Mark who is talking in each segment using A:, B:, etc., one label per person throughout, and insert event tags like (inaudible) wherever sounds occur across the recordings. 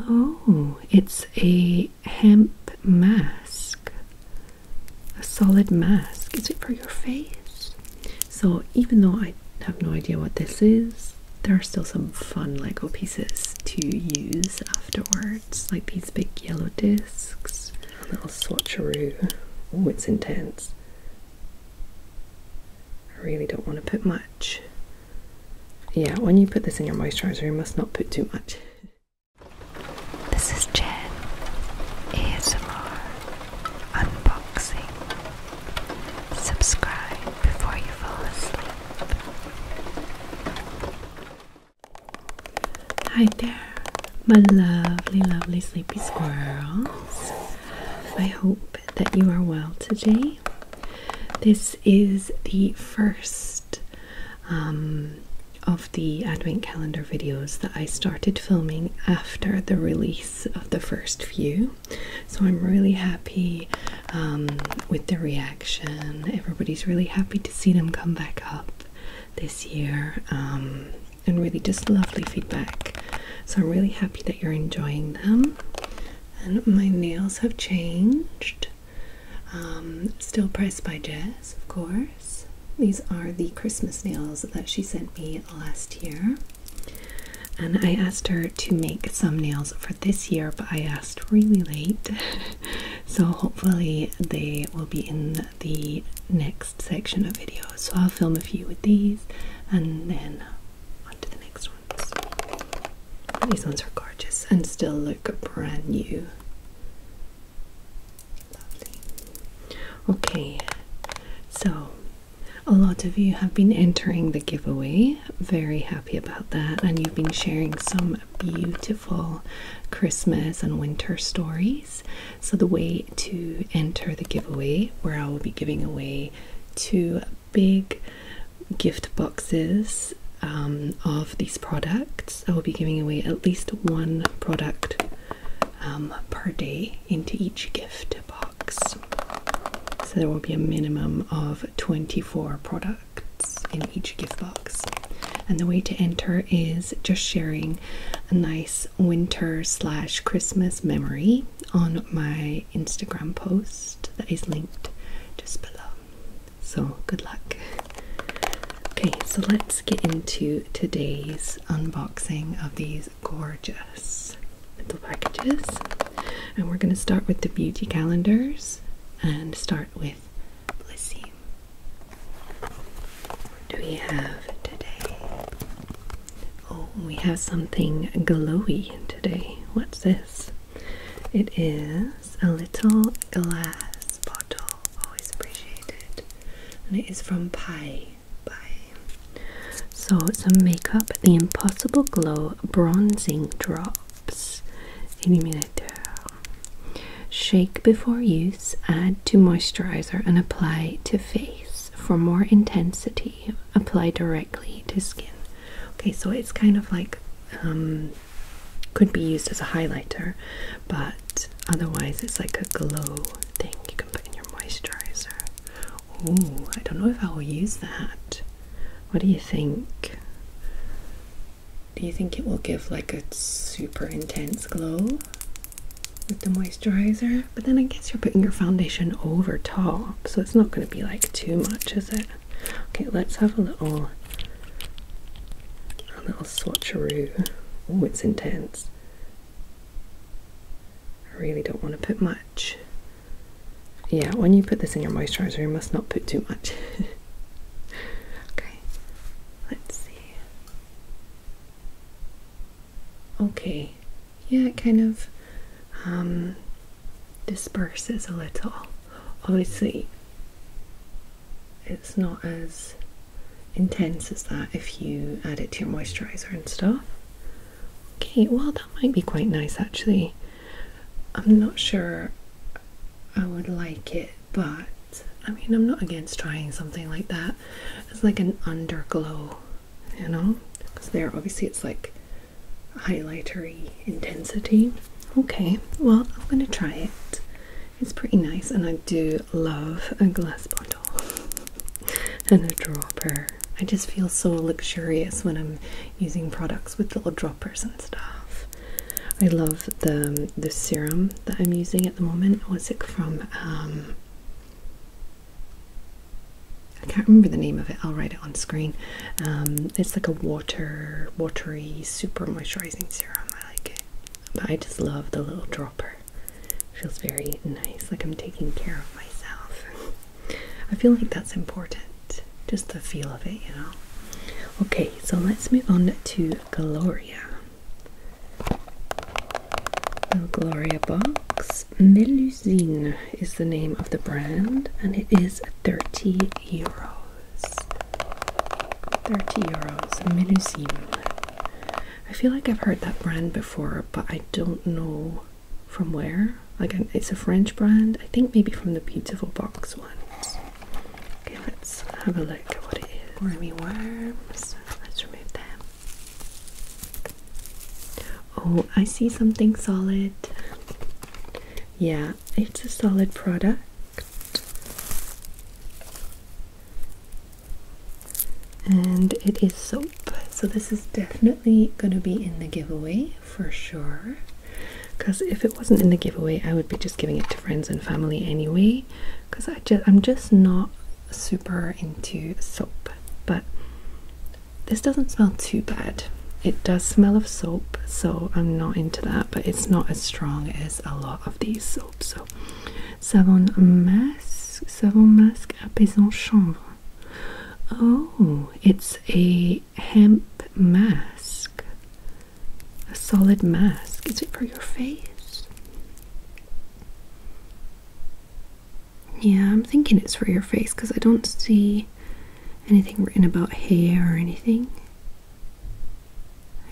A: Oh, it's a hemp mask, a solid mask. Is it for your face? So, even though I have no idea what this is, there are still some fun Lego pieces to use afterwards, like these big yellow discs, a little swatcheroo. Oh, it's intense. I really don't want to put much yeah, when you put this in your moisturiser, you must not put too much. This is Jen ASMR Unboxing. Subscribe before you fall asleep. Hi there, my lovely, lovely sleepy squirrels. I hope that you are well today. This is the first um, of the advent calendar videos that I started filming after the release of the first few. So I'm really happy um, with the reaction. Everybody's really happy to see them come back up this year um, and really just lovely feedback. So I'm really happy that you're enjoying them and my nails have changed. Um, still pressed by Jess, of course. These are the Christmas nails that she sent me last year. And I asked her to make some nails for this year, but I asked really late. (laughs) so hopefully they will be in the next section of videos. So I'll film a few with these and then on the next ones. These ones are gorgeous and still look brand new. Okay, so a lot of you have been entering the giveaway. Very happy about that, and you've been sharing some beautiful Christmas and winter stories. So, the way to enter the giveaway, where I will be giving away two big gift boxes um, of these products. I will be giving away at least one product um, per day into each gift box. So there will be a minimum of 24 products in each gift box. And the way to enter is just sharing a nice winter slash Christmas memory on my Instagram post that is linked just below. So, good luck. Okay, so let's get into today's unboxing of these gorgeous little packages. And we're going to start with the beauty calendars and start with Blissy. What do we have today? Oh, we have something glowy today. What's this? It is a little glass bottle, always appreciated, and it is from Pi. Pi. So it's a makeup, the Impossible Glow Bronzing Drops Illuminator. Shake before use, add to moisturizer, and apply to face for more intensity. Apply directly to skin. Okay, so it's kind of like um, could be used as a highlighter, but otherwise it's like a glow thing you can put in your moisturizer. Oh, I don't know if I will use that. What do you think? Do you think it will give like a super intense glow with the moisturizer? But then I guess you're putting your foundation over top, so it's not going to be like too much, is it? Okay, let's have a little a little swatcheroo. Oh, it's intense. I really don't want to put much. Yeah, when you put this in your moisturizer, you must not put too much. (laughs) okay, let's see. Okay, yeah, it kind of um, disperses a little. Obviously, it's not as intense as that if you add it to your moisturizer and stuff. Okay, well, that might be quite nice actually. I'm not sure I would like it, but I mean, I'm not against trying something like that. It's like an underglow, you know? Because there, obviously, it's like highlightery intensity. Okay, well, I'm going to try it. It's pretty nice, and I do love a glass bottle (laughs) and a dropper. I just feel so luxurious when I'm using products with little droppers and stuff. I love the um, the serum that I'm using at the moment. What's it from? Um, I can't remember the name of it. I'll write it on screen. Um, it's like a water, watery, super moisturizing serum. I like it, but I just love the little dropper. feels very nice, like I'm taking care of myself. (laughs) I feel like that's important. Just the feel of it, you know. Okay, so let's move on to Gloria. Little Gloria box. Melusine is the name of the brand and it is 30 euros. 30 euros, Melusine. I feel like I've heard that brand before, but I don't know from where. Again, it's a French brand, I think maybe from the beautiful box ones. Okay, let's have a look at what it is. Wormy worms. Let's remove them. Oh, I see something solid. Yeah, it's a solid product. And it is soap. So this is definitely going to be in the giveaway for sure. Because if it wasn't in the giveaway, I would be just giving it to friends and family anyway. Because I just, I'm just not super into soap. But this doesn't smell too bad. It does smell of soap, so I'm not into that, but it's not as strong as a lot of these soaps. So, savon masque, savon masque apaisant chanvre. Oh, it's a hemp mask, a solid mask. Is it for your face? Yeah, I'm thinking it's for your face because I don't see anything written about hair or anything.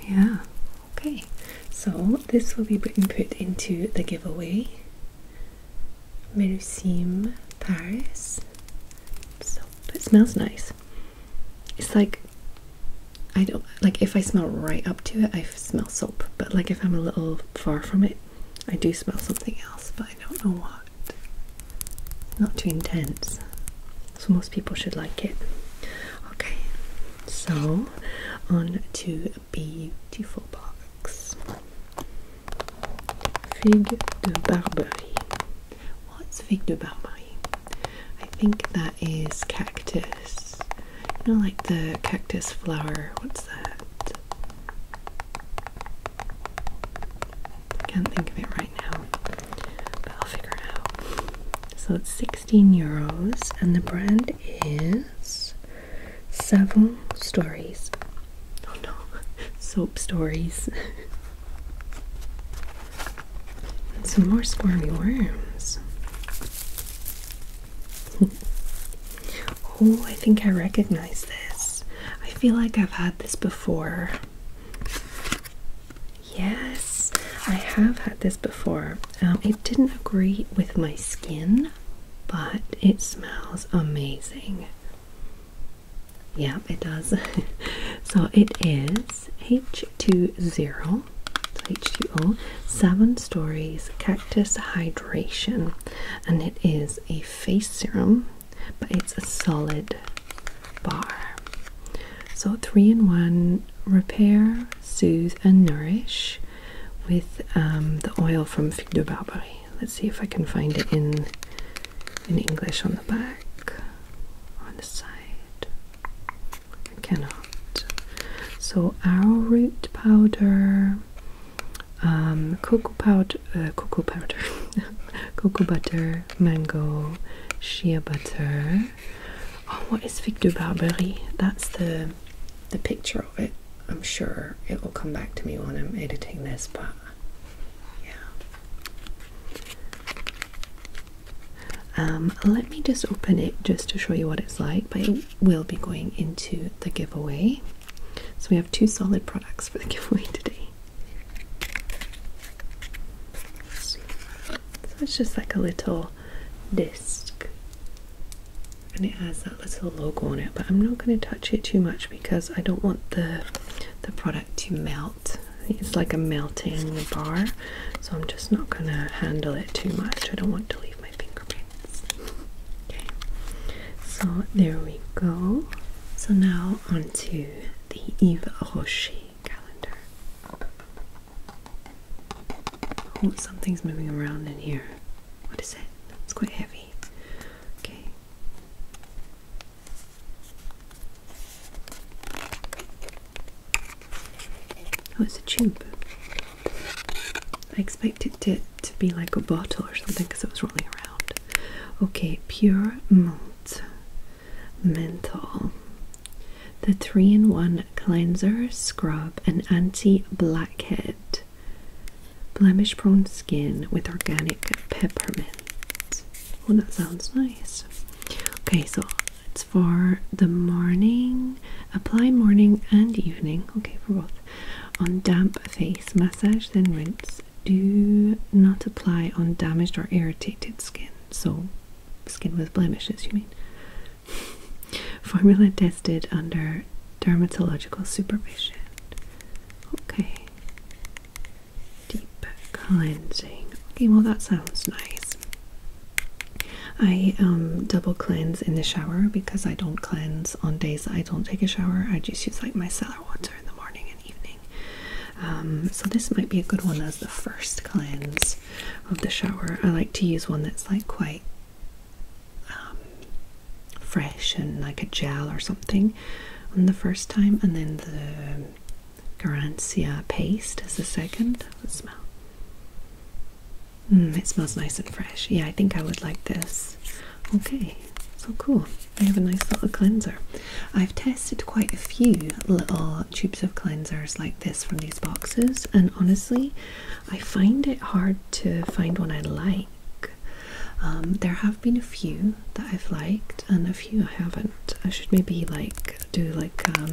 A: Yeah, okay. So this will be put into the giveaway. Merusim Paris So It smells nice. It's like I don't like if I smell right up to it, I smell soap. But like if I'm a little far from it, I do smell something else. But I don't know what. Not too intense. So most people should like it. Okay, so on to a beautiful box. Fig de Barbary. What's fig de Barbary? I think that is cactus. You know, like the cactus flower. What's that? Can't think of it right now, but I'll figure it out. So it's 16 euros, and the brand is Seven Stories. Oh no, (laughs) Soap Stories. (laughs) some more squirmy worms. (laughs) Oh, I think I recognize this. I feel like I've had this before. Yes, I have had this before. Um, it didn't agree with my skin, but it smells amazing. Yeah, it does. (laughs) so it is H20. H2O, Seven Stories Cactus Hydration, and it is a face serum but it's a solid bar. So, three in one repair, soothe, and nourish with um, the oil from Fig de Barbarie. Let's see if I can find it in, in English on the back, on the side. I cannot. So, arrowroot powder, um, uh, cocoa powder, (laughs) cocoa butter, mango, shea butter. Oh, what is fig de barberry? That's the the picture of it. I'm sure it will come back to me when I'm editing this, but yeah. Um, let me just open it just to show you what it's like, but it will be going into the giveaway. So we have two solid products for the (laughs) giveaway today. So it's just like a little disc. And it has that little logo on it, but I'm not going to touch it too much because I don't want the the product to melt. It's like a melting bar, so I'm just not going to handle it too much. I don't want to leave my fingerprint. Okay, so there we go. So now onto the Eva Rocher calendar. Oh, something's moving around in here. What is it? It's quite heavy. Okay. Oh, it's a tube. I expected it to be like a bottle or something because it was rolling around. Okay, pure malt, menthol, the three in one cleanser, scrub, and anti blackhead, blemish prone skin with organic peppermint. Oh, that sounds nice. Okay, so it's for the morning, apply morning and evening. Okay, for both. On damp face, massage then rinse. Do not apply on damaged or irritated skin. So, skin with blemishes, you mean? (laughs) Formula tested under dermatological supervision. Okay. Deep cleansing. Okay, well that sounds nice. I um double cleanse in the shower because I don't cleanse on I don't take a shower. I just use like my cellar water in the morning and evening. Um, so this might be a good one as the first cleanse of the shower. I like to use one that's like quite um, fresh and like a gel or something on the first time, and then the Garancia paste as the 2nd smell. Mm, it smells nice and fresh. Yeah, I think I would like this. Okay, so oh, cool. They have a nice little cleanser. I've tested quite a few little tubes of cleansers like this from these boxes, and honestly, I find it hard to find one I like. Um, there have been a few that I've liked and a few I haven't. I should maybe like do like um,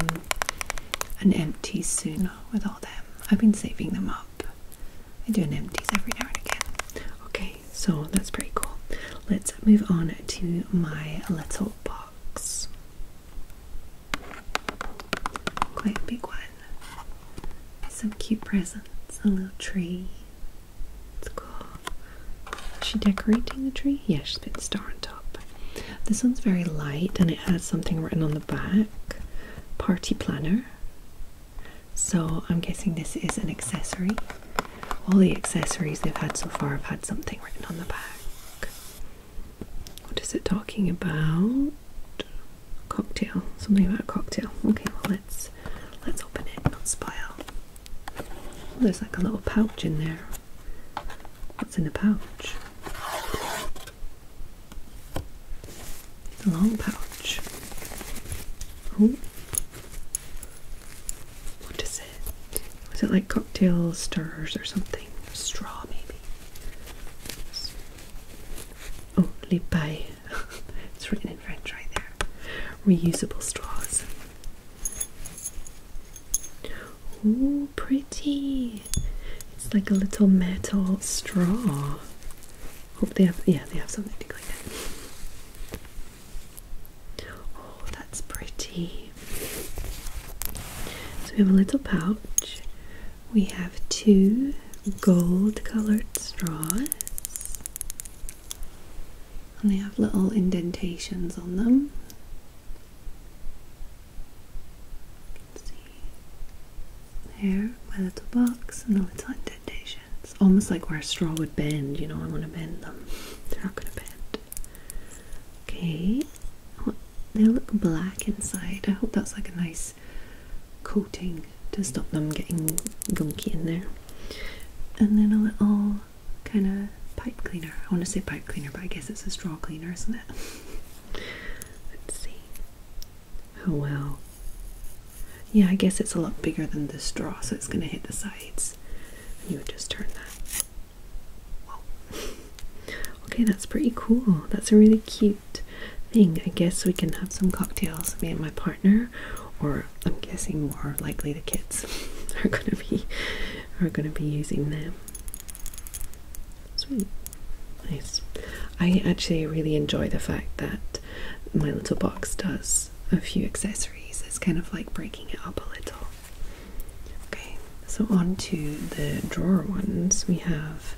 A: an empty soon with all them. I've been saving them up I do an empties every now and again. Okay, so that's pretty cool. Let's move on to my little box. Quite big one. Some cute presents, a little tree. It's cool. Is she decorating the tree? Yeah, she's put a star on top. This one's very light and it has something written on the back. Party planner. So I'm guessing this is an accessory. All the accessories they've had so far have had something written on the back. What is it talking about? Cocktail. Something about a cocktail. Okay, well let's let's open it, not spoil. there's like a little pouch in there. What's in the pouch? The long pouch. Oh. What is it? Was it like cocktail stirrers or something? Straw maybe. Only Lipay. (laughs) it's written in French right there. Reusable straws. Oh, pretty. It's like a little metal straw. Hope they have, yeah, they have something to clean it. Oh, that's pretty. So we have a little pouch. We have two gold colored straws. And they have little indentations on them. There, my little box and the little indentations. Almost like where a straw would bend, you know, I want to bend them. They're not going to bend. Okay. They look black inside. I hope that's like a nice coating to stop them getting gunky in there. And then a little kind of pipe cleaner. I want to say pipe cleaner, but I guess it's a straw cleaner, isn't it? (laughs) Let's see. Oh well. Yeah, I guess it's a lot bigger than this straw, so it's going to hit the sides. you would just turn that. Whoa. okay, that's pretty cool. That's a really cute thing. I guess we can have some cocktails, me and my partner, or I'm guessing more likely the kids (laughs) are going to be are going to be using them. Sweet. Nice. I actually really enjoy the fact that my little box does a few accessories. It's kind of like breaking it up a little. Okay, so on to the drawer ones. We have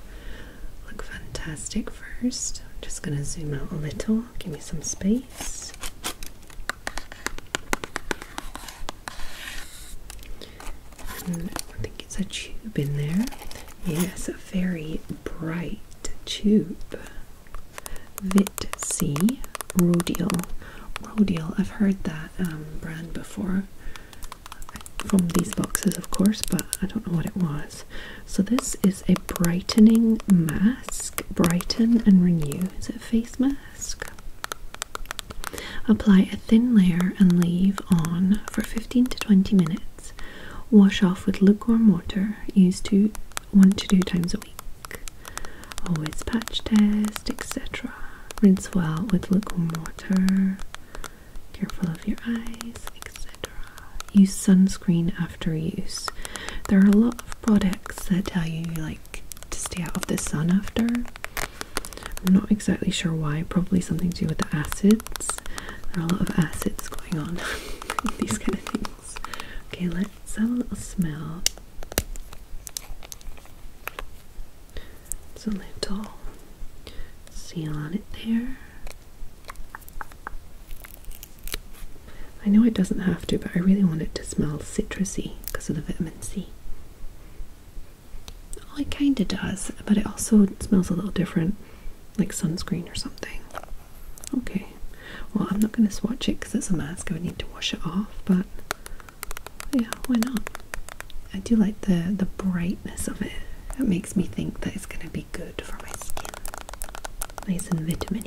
A: Look Fantastic 1st just going to zoom out a little, give me some space. I think it's a tube in there. Yes, very bright tube. Vit C Rodial. Rodial, I've heard that um, brand before from these boxes, of course, but I don't know what it was. So, this is a brightening mask. Brighten and renew. Is it face mask? Apply a thin layer and leave on for 15 to 20 minutes. Wash off with lukewarm water. Use two, one to two times a week. Always patch test, etc. Rinse well with lukewarm water. Careful of your eyes, etc. Use sunscreen after use. There are a lot of products that tell you like to stay out of the sun after. I'm not exactly sure why. Probably something to do with the acid there are a lot of acids going on (laughs) these kind of things. Okay, let's have a little smell. It's a little seal on it there. I know it doesn't have to, but I really want it to smell citrusy because of the vitamin C. Oh, it kind of does, but it also smells a little different like sunscreen or something. Okay, well, I'm not going to swatch it because it's a mask, I would need to wash it off, but yeah, why not? I do like the, the brightness of it, it makes me think that it's going to be good for my skin. Nice and vitamin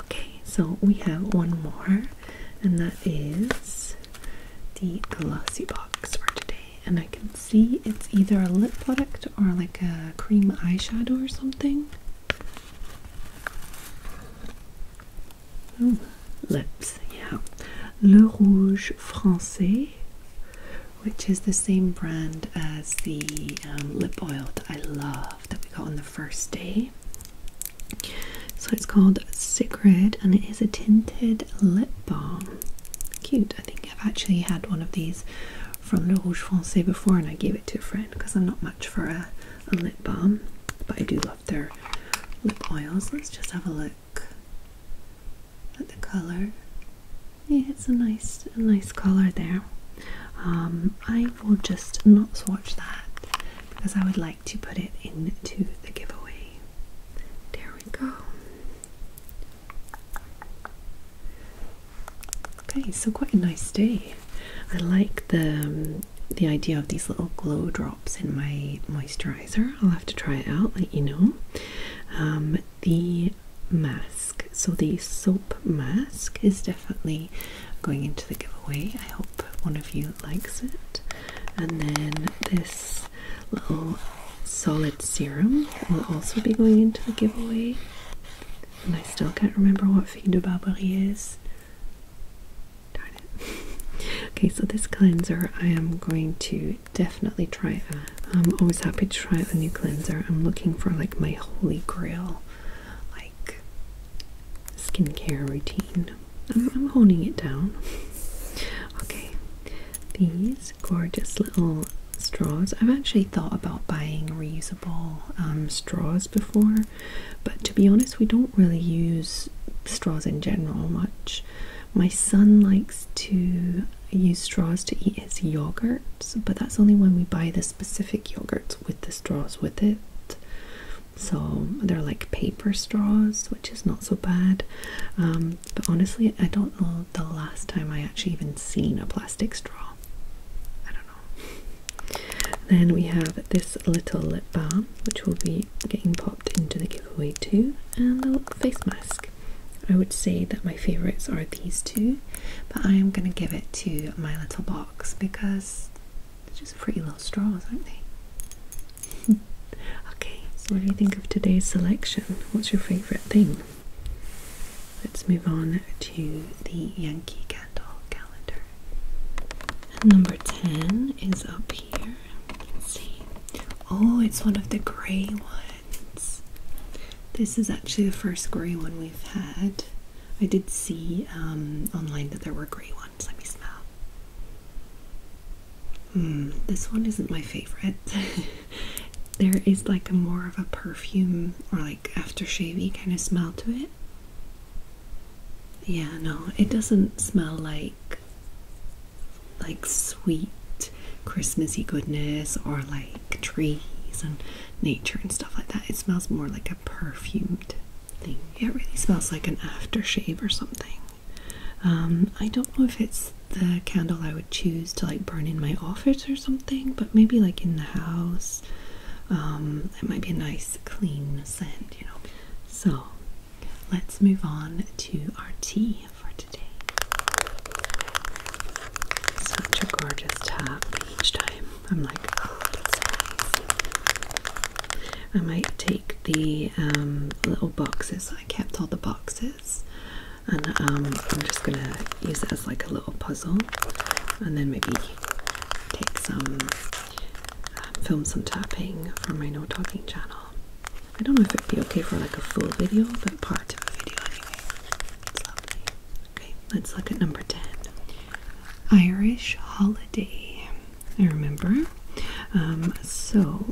A: Okay, so we have one more, and that is the glossy box for today and I can see it's either a lip product or like a cream eyeshadow or something. lips, yeah. Le Rouge Français, which is the same brand as the um, lip oil that I love that we got on the first day. So it's called Sigrid and it is a tinted lip balm. Cute. I think I've actually had one of these from Le Rouge Foncé before and I gave it to a friend because I'm not much for a, a lip balm, but I do love their lip oils. Let's just have a look at the colour. Yeah, it's a nice, a nice colour there. Um, I will just not swatch that because I would like to put it into the giveaway. There we go. Okay, so quite a nice day. I like the um, the idea of these little glow drops in my moisturizer. I'll have to try it out, let you know. Um, the mask, so the soap mask, is definitely going into the giveaway. I hope one of you likes it. And then this little solid serum will also be going into the giveaway. And I still can't remember what Fille de Barbarie is. Darn it. (laughs) okay, so this cleanser I am going to definitely try I'm always happy to try a new cleanser. I'm looking for like my holy grail, like skincare routine. I'm, I'm honing it down. (laughs) Okay, these gorgeous little straws. I've actually thought about buying reusable um, straws before, but to be honest, we don't really use straws in general much. My son likes to use straws to eat his yogurts, but that's only when we buy the specific yogurts with the straws with it. So they're like paper straws, which is not so bad. Um, but honestly, I don't know the last time I actually even seen a plastic straw. I don't know. Then we have this little lip balm, which will be getting popped into the giveaway too, and the face mask. I would say that my favourites are these two, but I am going to give it to my little box because they're just pretty little straws, aren't they? (laughs) okay, so what do you think of today's selection? What's your favourite thing? Let's move on to the Yankee Candle calendar. number 10 is up here. Let's see. Oh, it's one of the grey ones. This is actually the first grey one we've had. I did see um, online that there were grey ones. Let me smell. Hmm, this one isn't my favorite. (laughs) there is like a more of a perfume or like aftershavey kind of smell to it. Yeah, no, it doesn't smell like like sweet Christmassy goodness or like trees and nature and stuff like that. It smells more like a perfumed thing. It really smells like an aftershave or something. Um, I don't know if it's the candle I would choose to like burn in my office or something, but maybe like in the house. Um, it might be a nice clean scent, you know. So let's move on to our tea for today. Such a gorgeous tap each time. I'm like, oh, I might take the um, little boxes. I kept all the boxes and um, I'm just gonna use it as like a little puzzle and then maybe take some um, film some tapping for my no talking channel. I don't know if it'd be okay for like a full video but part of a video anyway. Okay, let's look at number 10. Irish holiday. I remember. Um, so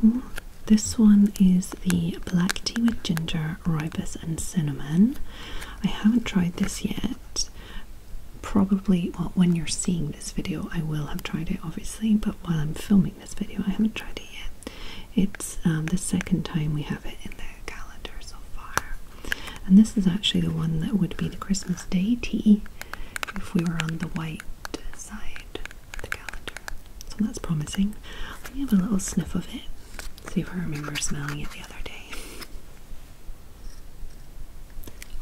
A: this one is the black tea with ginger, ribes, and cinnamon. I haven't tried this yet. Probably, well, when you're seeing this video, I will have tried it obviously, but while I'm filming this video, I haven't tried it yet. It's um, the second time we have it in the calendar so far. And this is actually the one that would be the Christmas Day tea if we were on the white side. So that's promising. Let me have a little sniff of it. See if I remember smelling it the other day.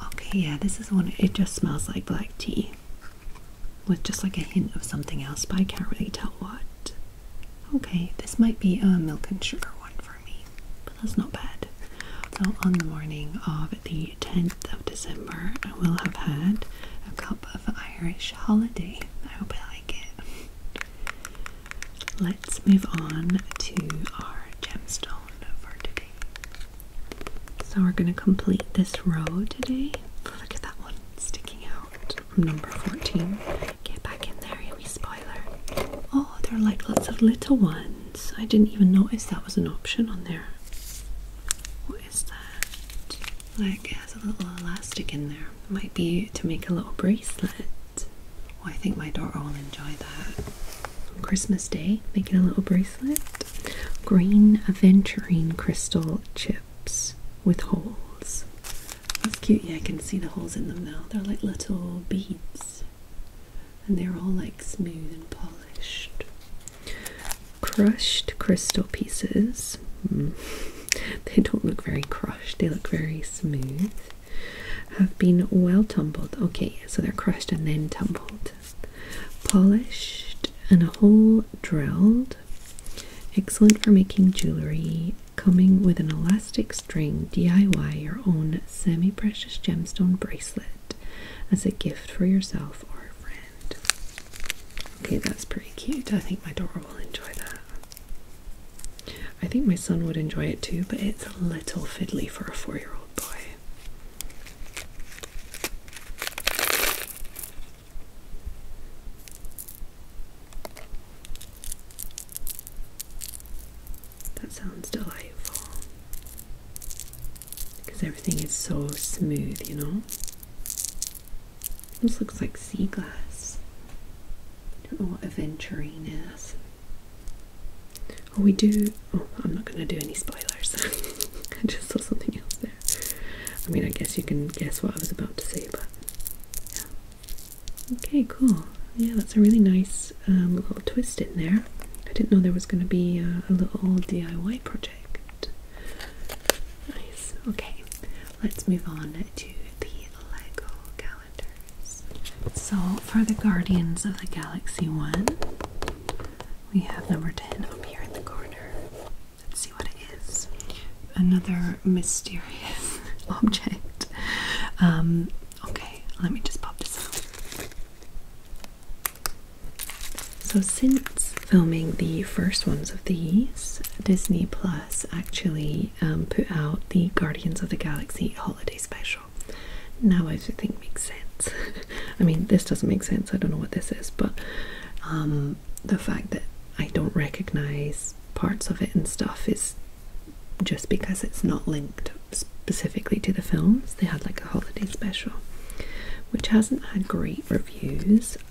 A: Okay, yeah, this is one. It just smells like black tea. With just like a hint of something else, but I can't really tell what. Okay, this might be a milk and sugar one for me, but that's not bad. So, on the morning of the 10th of December, I will have had a cup of Irish holiday. I hope I like it. Let's move on to our gemstone of our day. So we're going to complete this row today. Look at that one sticking out. Number 14. Get back in there, yummy spoiler. Oh, there are like lots of little ones. I didn't even notice that was an option on there. What is that? Like it has a little elastic in there. Might be to make a little bracelet. Oh, I think my daughter will enjoy that. Christmas Day, making a little bracelet. Green aventurine crystal chips with holes. cute. Yeah, I can see the holes in them now. They're like little beads. And they're all like smooth and polished crushed crystal pieces. Mm. (laughs) They don't look very crushed, they look very smooth. Have been well tumbled. Okay, so they're crushed and then tumbled. Polished and a hole drilled. Excellent for making jewellery. Coming with an elastic string, DIY your own semi precious gemstone bracelet as a gift for yourself or a friend. Okay, that's pretty cute. I think my daughter will enjoy that. I think my son would enjoy it too, but it's a little fiddly for a four year old boy. That sounds delightful because everything is so smooth, you know. This looks like sea glass. Don't know what aventurine is. Oh, we do. Oh, I'm not going to do any spoilers. (laughs) I just saw something else there. I mean, I guess you can guess what I was about to say, but Okay, cool. Yeah, that's a really nice um, little twist in there. I didn't know there was going to be a little DIY project. Nice. Okay, let's move on to the Lego calendars. So, for the Guardians of the Galaxy one, we have number 10 up here in the corner. Let's see what it is. Another mysterious (laughs) object. Um, okay, let me just pop this out. So, since filming the first ones of these, Disney Plus actually um, put out the Guardians of the Galaxy holiday special. Now, I think makes sense. (laughs) I mean, this doesn't make sense. I don't know what this is, but um, the fact that I don't recognize parts of it and stuff is just because it's not linked specifically to the films. They had like a holiday special, which hasn't had great reviews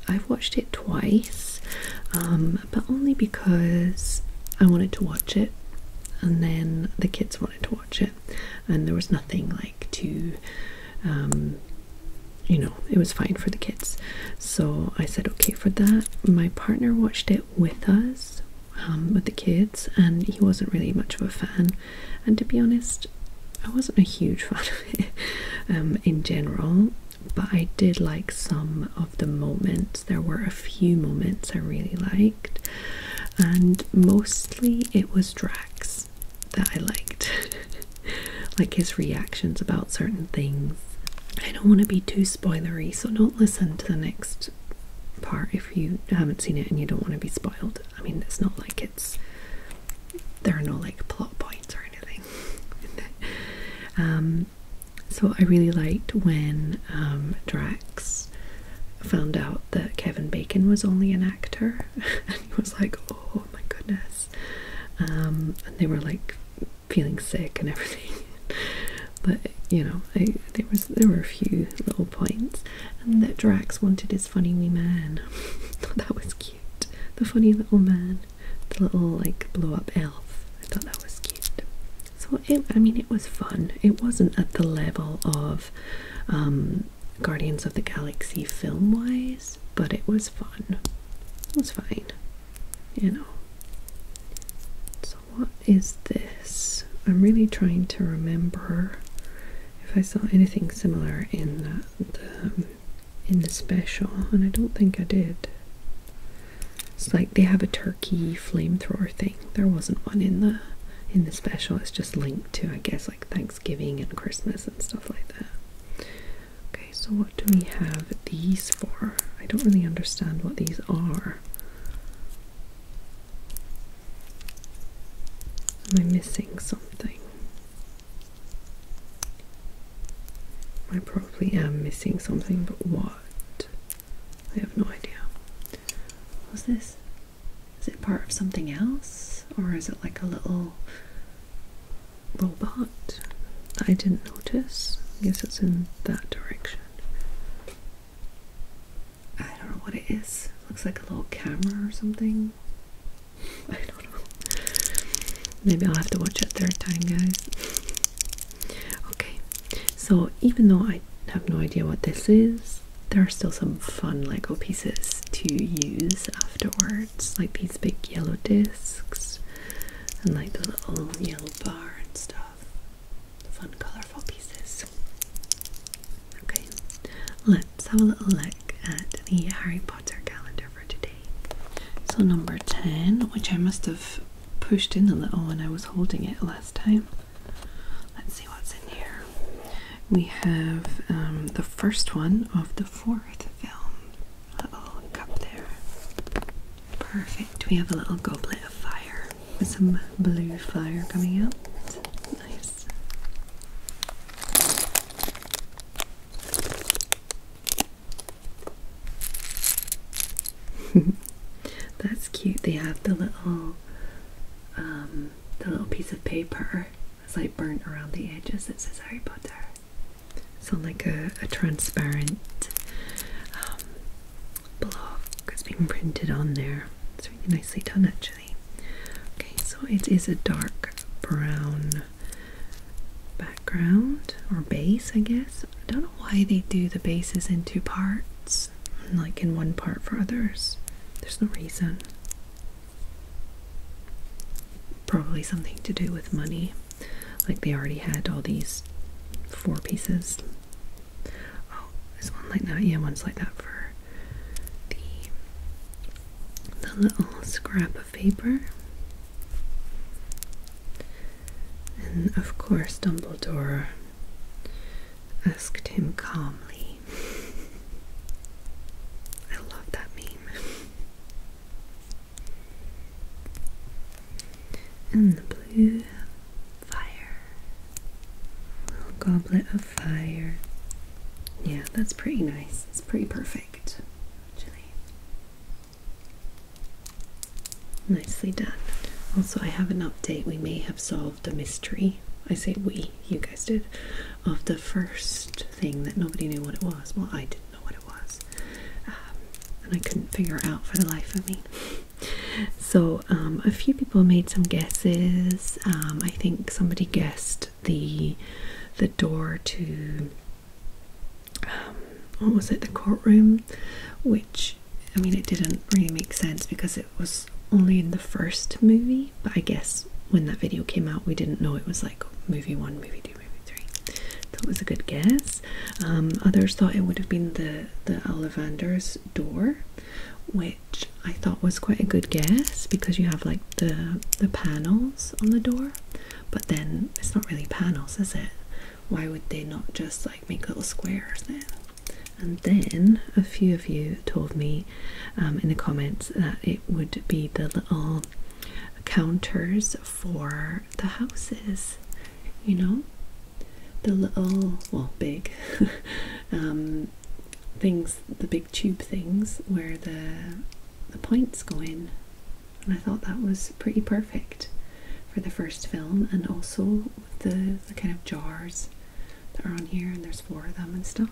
A: I've watched it twice, um, but only because I wanted to watch it, and then the kids wanted to watch it, and there was nothing like to, um, you know, it was fine for the kids. So I said okay for that. My partner watched it with us. Um, with the kids, and he wasn't really much of a fan and to be honest, I wasn't a huge (laughs) fan of it um, in general, but I did like some of the moments. There were a few moments I really liked, and mostly it was Drax that I liked, (laughs) like his reactions about certain things. I don't want to be too spoilery, so don't listen to the next part if you haven't seen it and you don't want to be spoiled. I mean, it's not like it's there are no like plot points or anything. (laughs) Um, so I really liked when um, Drax found out that Kevin Bacon was only an actor, (laughs) and he was like, "Oh my goodness," um, and they were like feeling sick and everything. (laughs) but you know, there was there were a few little points, and that Drax wanted his funny wee man. that was cute. The funny little man, the little like blow up elf. I thought that was cute. So I mean, it was fun. It wasn't at the level of um, Guardians of the Galaxy film wise, but it was fun. It was fine, you know. So what is this? I'm really trying to remember if I saw anything similar in uh, in the special, and I don't think I did. It's like they have a turkey flamethrower thing. There wasn't one in the in the special. It's just linked to, I guess, like Thanksgiving and Christmas and stuff like that. Okay, so what do we have these for? I don't really understand what these are. Am I missing something? I probably am missing something, but what? I have no idea. Was this? Is it part of something else? Or is it like a little robot I didn't notice? I guess it's in that direction. I don't know what it is. looks like a little camera or something. I don't know. Maybe I'll have to watch it third time, guys. Okay, so even though I have no idea what this is, there are still some fun Lego pieces to use afterwards, like these big yellow discs and like the little yellow bar and stuff. Fun, colorful pieces. Okay, let's have a little look at the Harry Potter calendar for today. So, number 10, which I must have pushed in a little when I was holding it last time. Let's see what's in here. We have um, the first one of the fourth film. little cup there. Perfect. We have a little goblet of fire with some blue fire coming out. Nice. (laughs) That's cute. They have the little um, the little piece of paper that's like burnt around the edges that says Harry Potter. So like a, transparent um, block. It's been printed on there. It's really nicely done actually. Okay, so it is a dark brown background or base, I guess. I don't know why they do the bases in two parts, like in one part for others. There's no reason. Probably something to do with money. Like they already had all these four pieces. Oh, there's one like that. Yeah, one's like that for the the little scrap of paper. And of course, Dumbledore asked him calmly. (laughs) I love that meme. And the blue fire, little goblet of fire. Yeah, that's pretty nice. It's pretty perfect, actually. Nicely done. Also, I have an update. We may have solved a mystery. I say we, you guys did, of the first thing that nobody knew what it was. Well, I didn't know what it was. Um, and I couldn't figure out for the life of me. So, um, a few people made some guesses. Um, I think somebody guessed the the door to um, what was it the courtroom, which I mean it didn't really make sense because it was only in the first movie. But I guess when that video came out, we didn't know it was like movie one, movie two, movie three. That was a good guess. Um, others thought it would have been the the Ollivander's door, which which I thought was quite a good guess because you have like the the panels on the door, but then it's not really panels, is it? Why would they not just like make little squares there? And then a few of you told me um, in the comments that it would be the little counters for the houses, you know, the little well big (laughs) um, things, the big tube things, where the the points go in, and I thought that was pretty perfect for the first film, and also with the kind of jars that are on here, and there's four of them and stuff.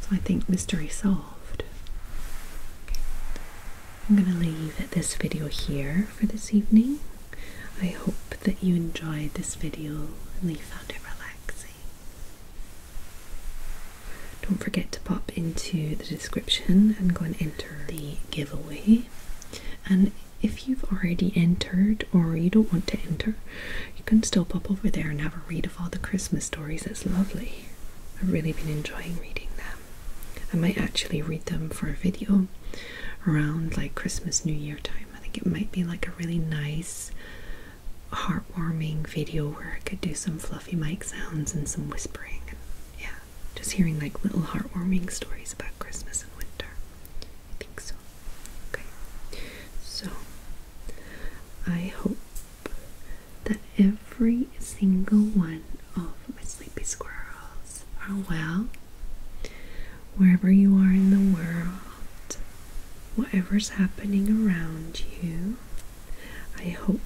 A: So I think mystery solved. I'm going to leave this video here for this evening. I hope that you enjoyed this video and you found it relaxing. Don't forget to pop into the description and go and enter the giveaway. And if you've already entered or you don't want to enter, you can still pop over there and have a read of all the Christmas stories. It's lovely. I've really been enjoying reading them. I might actually read them for a video around like Christmas New Year time. I think it might be like a really nice heartwarming video where I could do some fluffy mic sounds and some whispering. And yeah, just hearing like little heartwarming stories about Christmas and winter. I think so. Okay, so I hope that every single one of my sleepy squirrels are well wherever you are in the world whatever's happening around you. I hope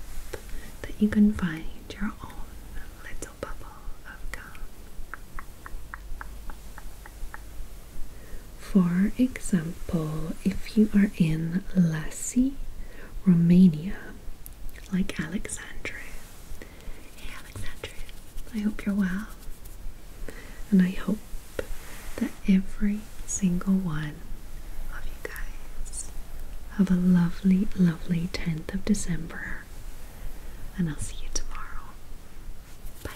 A: that you can find your own little bubble of calm. For example, if you are in Lasi, Romania, like Alexandra. Hey Alexandra, I hope you're well. And I hope that every single one of you guys have a lovely, lovely 10th of December. And I'll see you tomorrow. Bye.